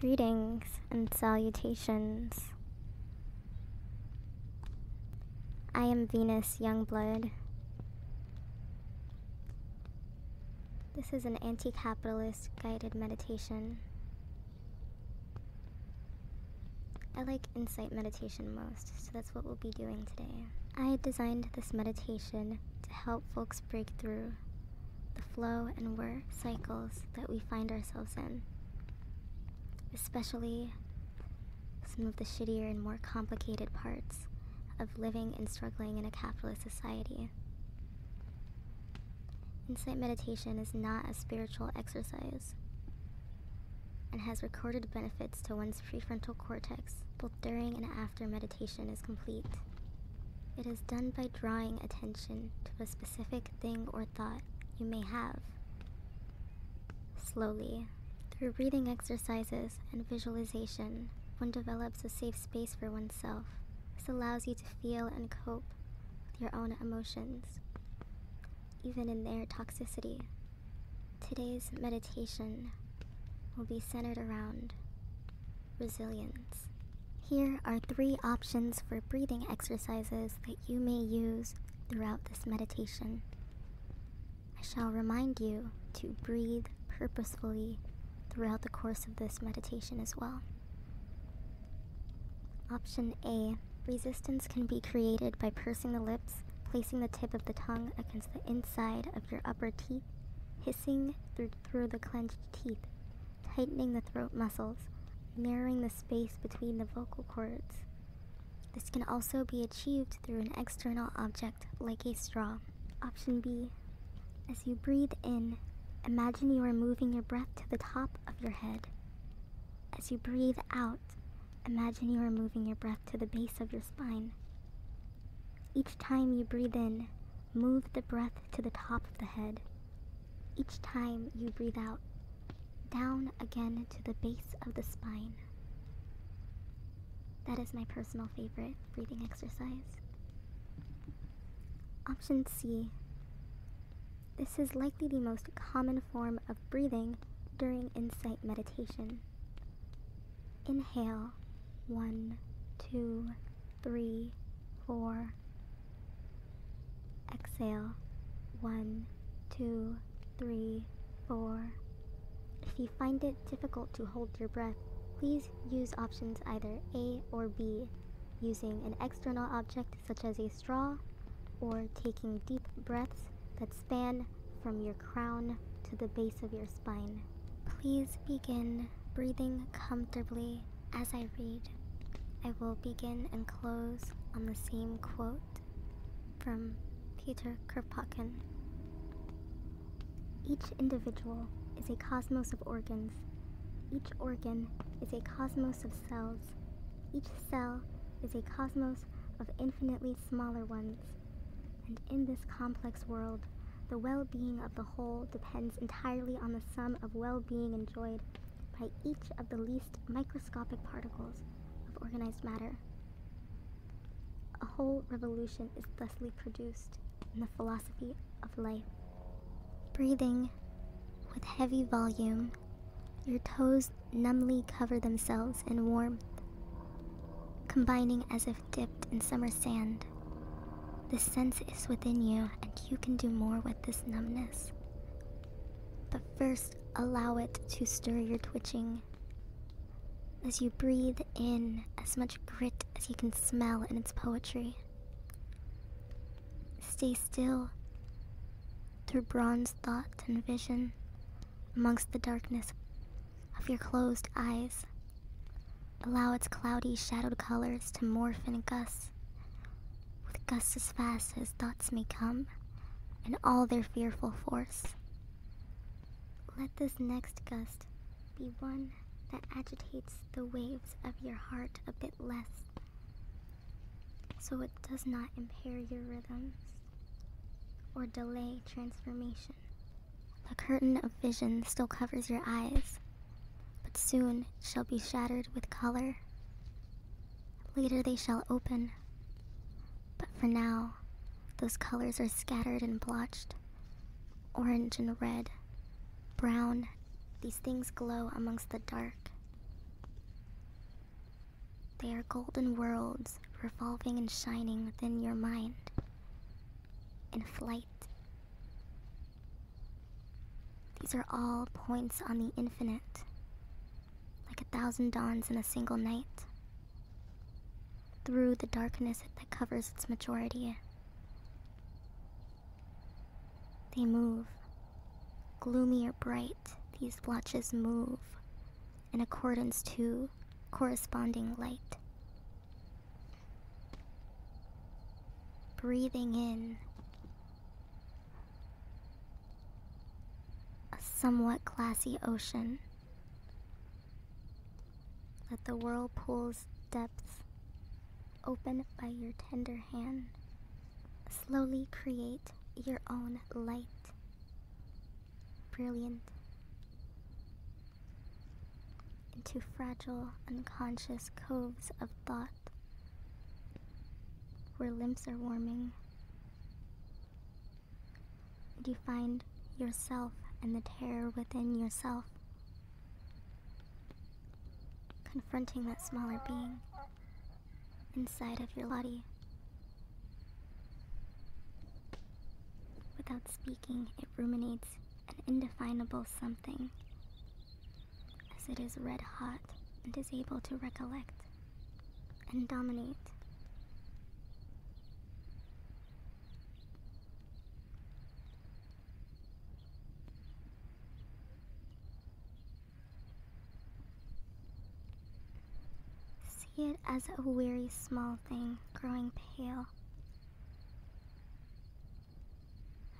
Greetings and salutations. I am Venus Youngblood. This is an anti capitalist guided meditation. I like insight meditation most, so that's what we'll be doing today. I designed this meditation to help folks break through the flow and work cycles that we find ourselves in, especially some of the shittier and more complicated parts of living and struggling in a capitalist society. Insight meditation is not a spiritual exercise and has recorded benefits to one's prefrontal cortex both during and after meditation is complete. It is done by drawing attention to a specific thing or thought you may have. Slowly, through breathing exercises and visualization, one develops a safe space for oneself. This allows you to feel and cope with your own emotions, even in their toxicity. Today's meditation will be centered around resilience. Here are three options for breathing exercises that you may use throughout this meditation. I shall remind you to breathe purposefully throughout the course of this meditation as well. Option A Resistance can be created by pursing the lips, placing the tip of the tongue against the inside of your upper teeth, through, through the clenched teeth, tightening the throat muscles, narrowing the space between the vocal cords. This can also be achieved through an external object like a straw. Option B. As you breathe in, imagine you are moving your breath to the top of your head. As you breathe out, imagine you are moving your breath to the base of your spine. Each time you breathe in, Move the breath to the top of the head. Each time you breathe out, down again to the base of the spine. That is my personal favorite breathing exercise. Option C. This is likely the most common form of breathing during insight meditation. Inhale, one, two, three, four. Exhale, one, two, three, four. If you find it difficult to hold your breath, please use options either A or B, using an external object such as a straw, or taking deep breaths that span from your crown to the base of your spine. Please begin breathing comfortably as I read. I will begin and close on the same quote from Peter Kropotkin. Each individual is a cosmos of organs. Each organ is a cosmos of cells. Each cell is a cosmos of infinitely smaller ones. And in this complex world, the well being of the whole depends entirely on the sum of well being enjoyed by each of the least microscopic particles of organized matter. A whole revolution is thusly produced in the philosophy of life. Breathing with heavy volume, your toes numbly cover themselves in warmth combining as if dipped in summer sand. the sense is within you, and you can do more with this numbness. But first, allow it to stir your twitching. As you breathe in as much grit as you can smell in its poetry, stay still through bronze thought and vision amongst the darkness of your closed eyes. Allow its cloudy, shadowed colors to morph in gusts, with gusts as fast as thoughts may come, and all their fearful force. Let this next gust be one that agitates the waves of your heart a bit less, so it does not impair your rhythms or delay transformation. The curtain of vision still covers your eyes, but soon shall be shattered with color. Later they shall open, but for now, those colors are scattered and blotched orange and red, brown. These things glow amongst the dark. They are golden worlds revolving and shining within your mind. In flight. These are all points on the infinite, like a thousand dawns in a single night. Through the darkness that covers its majority, they move. Gloomy or bright, these blotches move in accordance to corresponding light. Breathing in a somewhat glassy ocean. Let the whirlpool's depths open by your tender hand. Slowly create your own light brilliant, into fragile, unconscious coves of thought where limbs are warming. And you find yourself and the terror within yourself confronting that smaller being inside of your body. Without speaking, it ruminates an indefinable something, as it is red hot and is able to recollect and dominate. See it as a weary small thing growing pale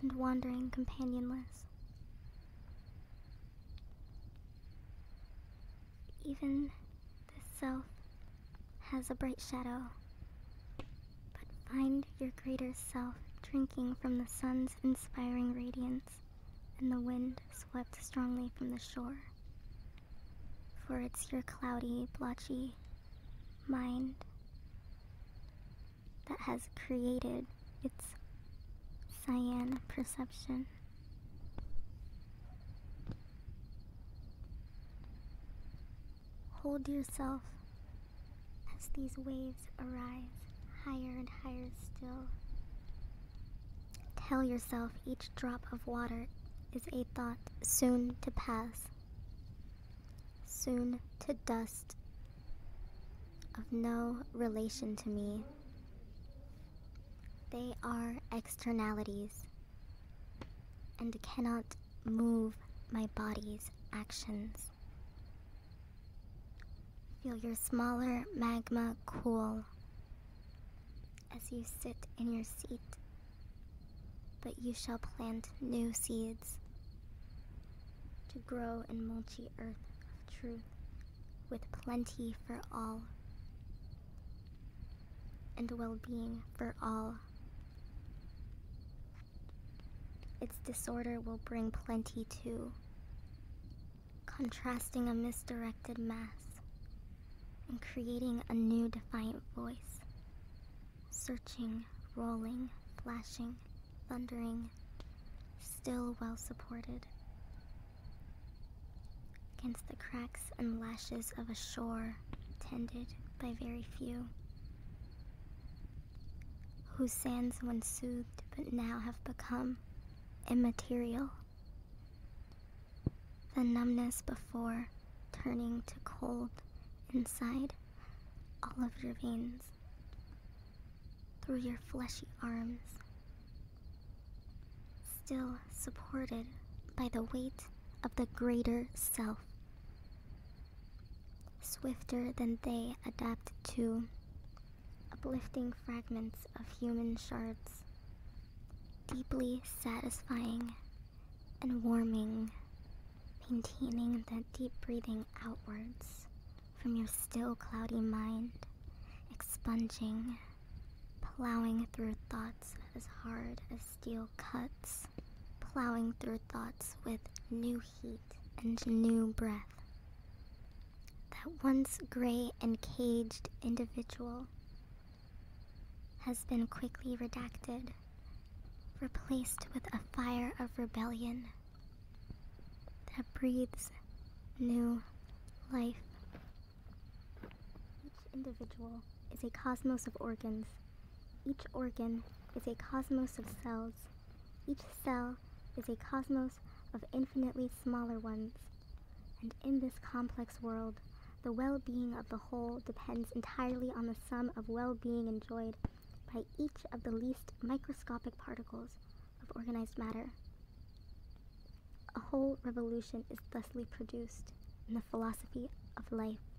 and wandering companionless. Even the self has a bright shadow, but find your greater self drinking from the sun's inspiring radiance and the wind swept strongly from the shore. For it's your cloudy, blotchy mind that has created its cyan perception. Hold yourself as these waves arise higher and higher still. Tell yourself each drop of water is a thought soon to pass, soon to dust, of no relation to me. They are externalities and cannot move my body's actions. Feel your smaller magma cool as you sit in your seat, but you shall plant new seeds to grow in mulchy earth of truth with plenty for all and well being for all. Its disorder will bring plenty too, contrasting a misdirected mass and creating a new defiant voice, searching, rolling, flashing, thundering, still well supported. Against the cracks and lashes of a shore tended by very few whose sands once soothed but now have become immaterial. The numbness before turning to cold inside all of your veins, through your fleshy arms, still supported by the weight of the greater self swifter than they adapt to, uplifting fragments of human shards, deeply satisfying and warming, maintaining the deep breathing outwards from your still cloudy mind, expunging, plowing through thoughts as hard as steel cuts, plowing through thoughts with new heat and new breath. That once gray and caged individual has been quickly redacted, replaced with a fire of rebellion that breathes new life. Each individual is a cosmos of organs each organ is a cosmos of cells. Each cell is a cosmos of infinitely smaller ones. And in this complex world, the well-being of the whole depends entirely on the sum of well-being enjoyed by each of the least microscopic particles of organized matter. A whole revolution is thusly produced in the philosophy of life.